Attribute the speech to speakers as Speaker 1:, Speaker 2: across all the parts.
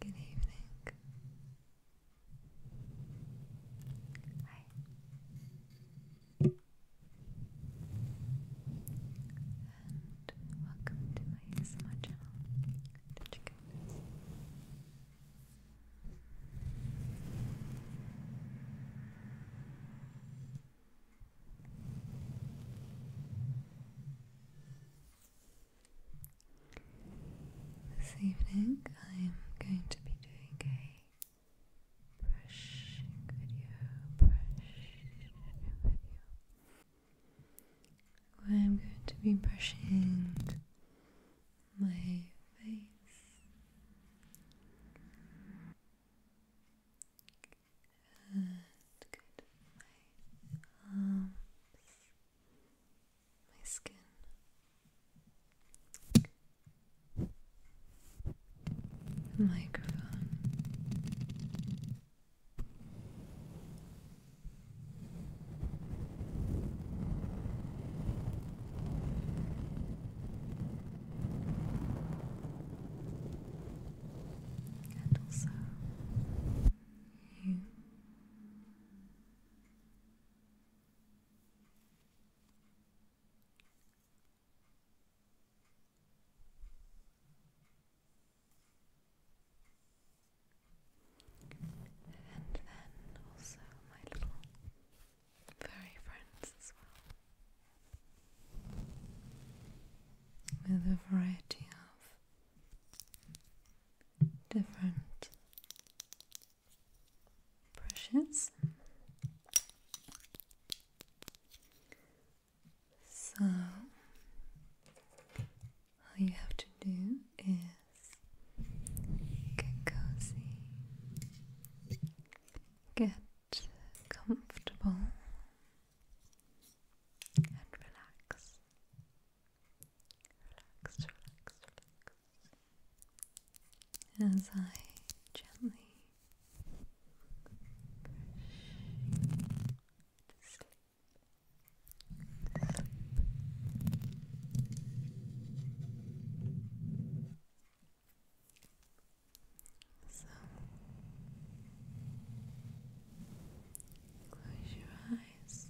Speaker 1: Good evening. Hi. And welcome to my ASMR channel. Did this evening I'm going to be doing a brushing video, brushing video I'm going to be brushing my face and good. My arms, um, my skin. microphone and also you. And then also my little furry friends as well with a variety of different brushes. So, all you have to do is get cozy, get comfortable, and relax. Relax, relax, relax. As I gently to so close your eyes. Close your eyes.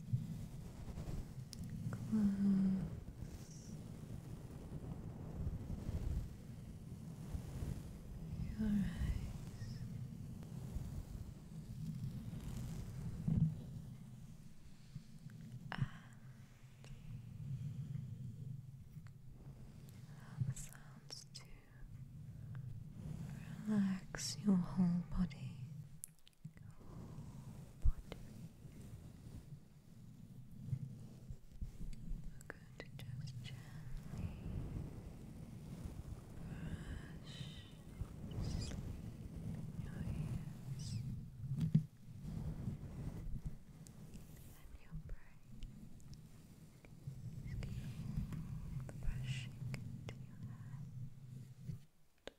Speaker 1: And um, sounds too. Relax your whole body. Whole body. going to just gently brush your ears and your brain. Just keep brushing into your hand. Just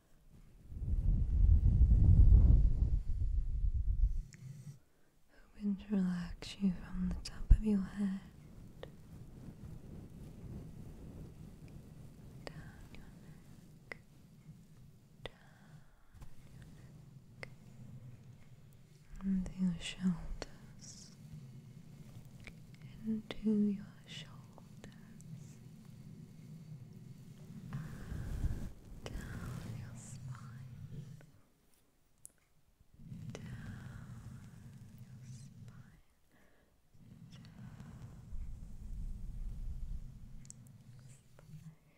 Speaker 1: Hoping to relax you from the top of your head down your neck, into your shoulders, into your shoulders down your spine, down your spine, down your spine, down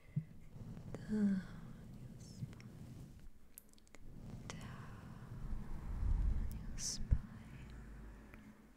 Speaker 1: your spine. Down your spine,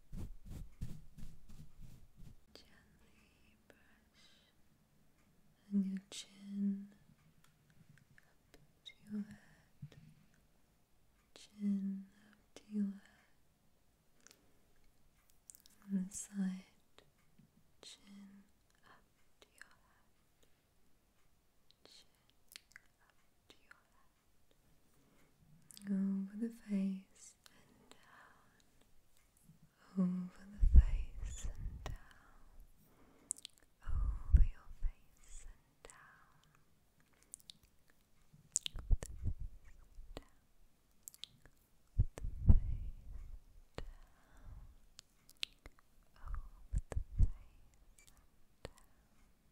Speaker 1: Gently brush on your chin up to your head, chin up to your head, on the side, chin up to your head, chin up to your head over the face and down, over the face and down, over your face and down, over the face and down, over the face and down, over the face and down down,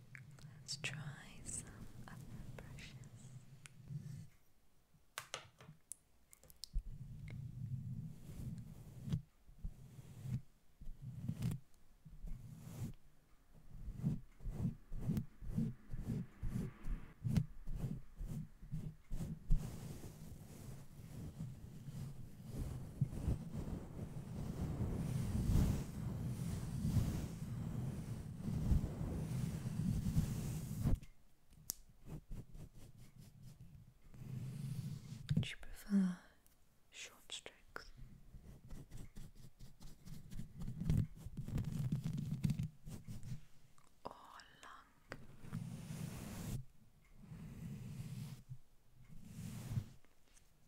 Speaker 1: Let's try some other brushes. Do you prefer short strokes? Or long?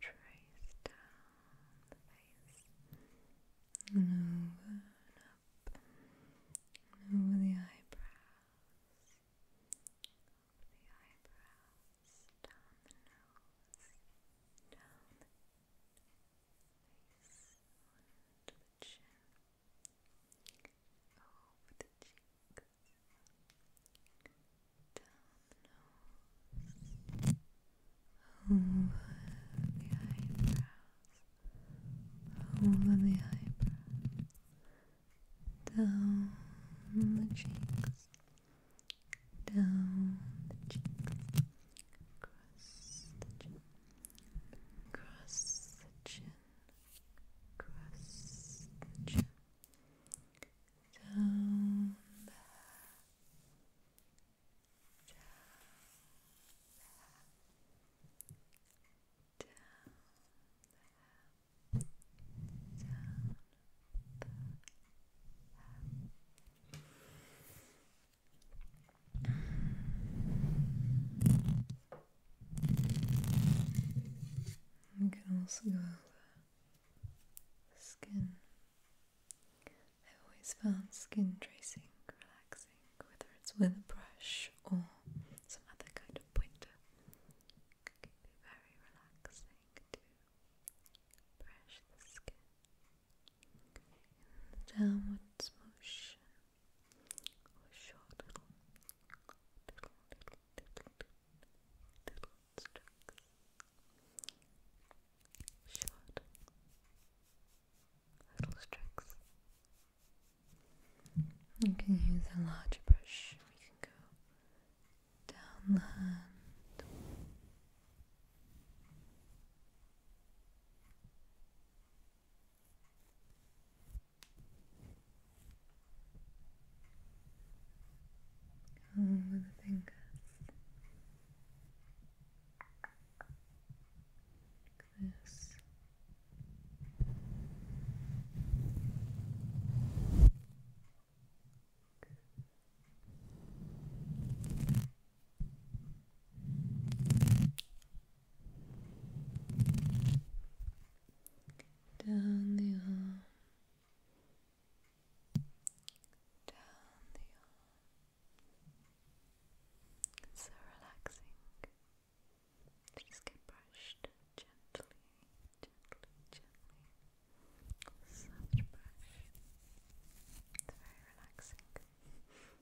Speaker 1: Trace down the face and over up over the eyebrows, the eyebrows, down the nose, down the face, onto the chin over the cheeks, down the nose, over the eyebrows, over the eyebrows, down the cheeks, down the cheeks, across the chin, across the chin across the down down down down you can also go over skin. I've always found skin tracing relaxing, whether it's with a brush or some other kind of pointer. It can be very relaxing to brush the skin in the motion little, little, little, little, little Short, little strokes. You can use a larger brush. We can go down all oh, over the fingers. Like this. Good down the arm, down the arm. It's so relaxing just get brushed gently, gently, gently. Such brush. It's very relaxing.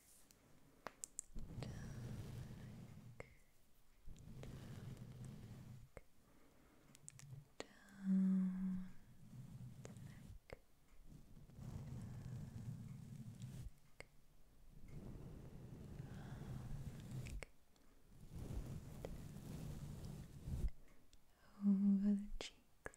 Speaker 1: Dark, dark, down the neck, dark, over the cheeks,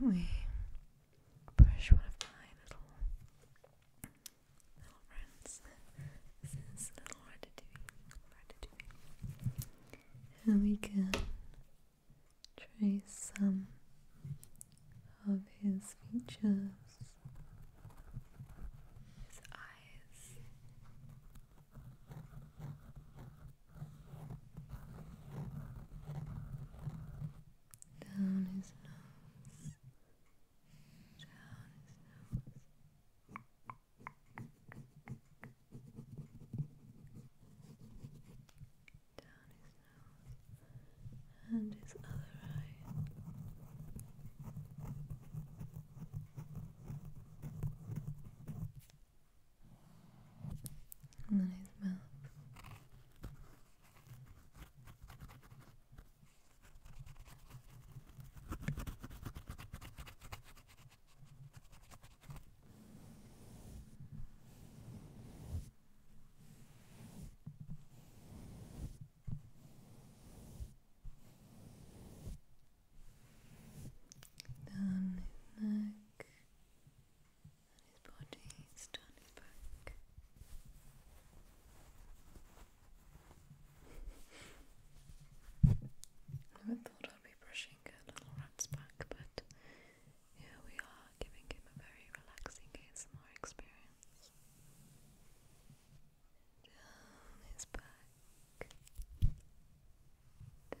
Speaker 1: we brush one my little little friends? and we can trace some of his features his eyes. Down his nose, down his nose. Down his nose and his other eye. And then his mouth. Down his neck and his body, down his back. Never thought I'd be brushing a little rat's back, but here we are giving him a very relaxing ASMR experience down his back, down his back.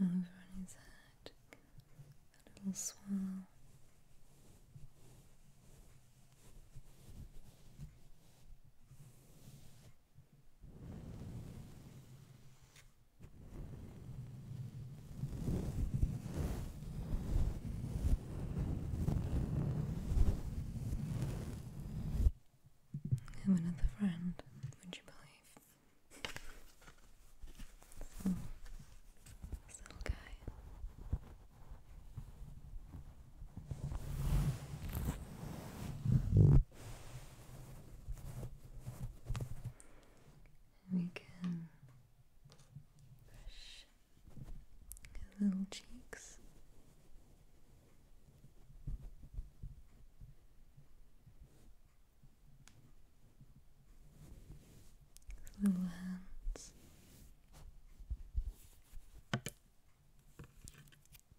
Speaker 1: Over on his head, a little swirl. I'm another friend, would you believe? this little guy. We can brush his little cheeks. little hands.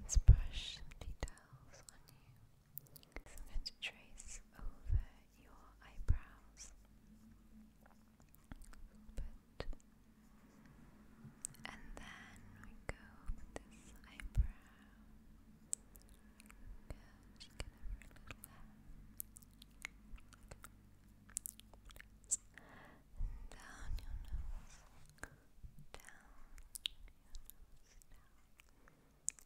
Speaker 1: Let's brush details on you. So I'm going to trace over your eyebrows And then we go with this eyebrow. Good, just get little there. And Down your nose, down.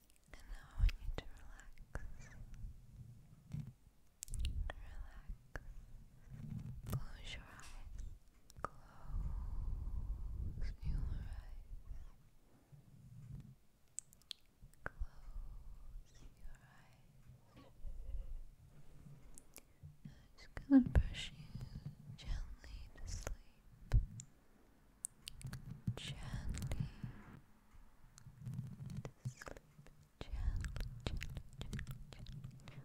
Speaker 1: And now I want to relax. Relax. Close your eyes. Close your eyes. Close your eyes. I'm just gonna brush you gently to sleep gently to Gently, gently, gently, gently, Gently,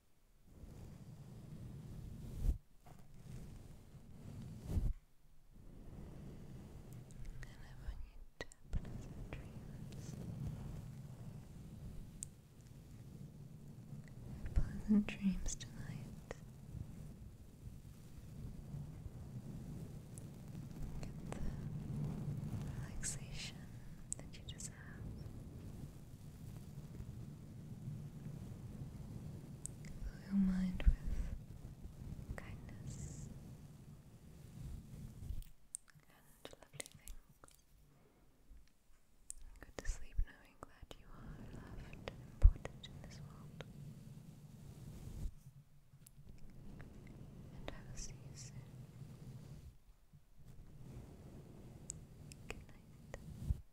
Speaker 1: And I want you dreams. Pleasant dreams tonight. Get the relaxation that you deserve. Fill your mind with kindness and lovely things. Go to sleep knowing that you are loved important in this world. And I will see you soon. Good night.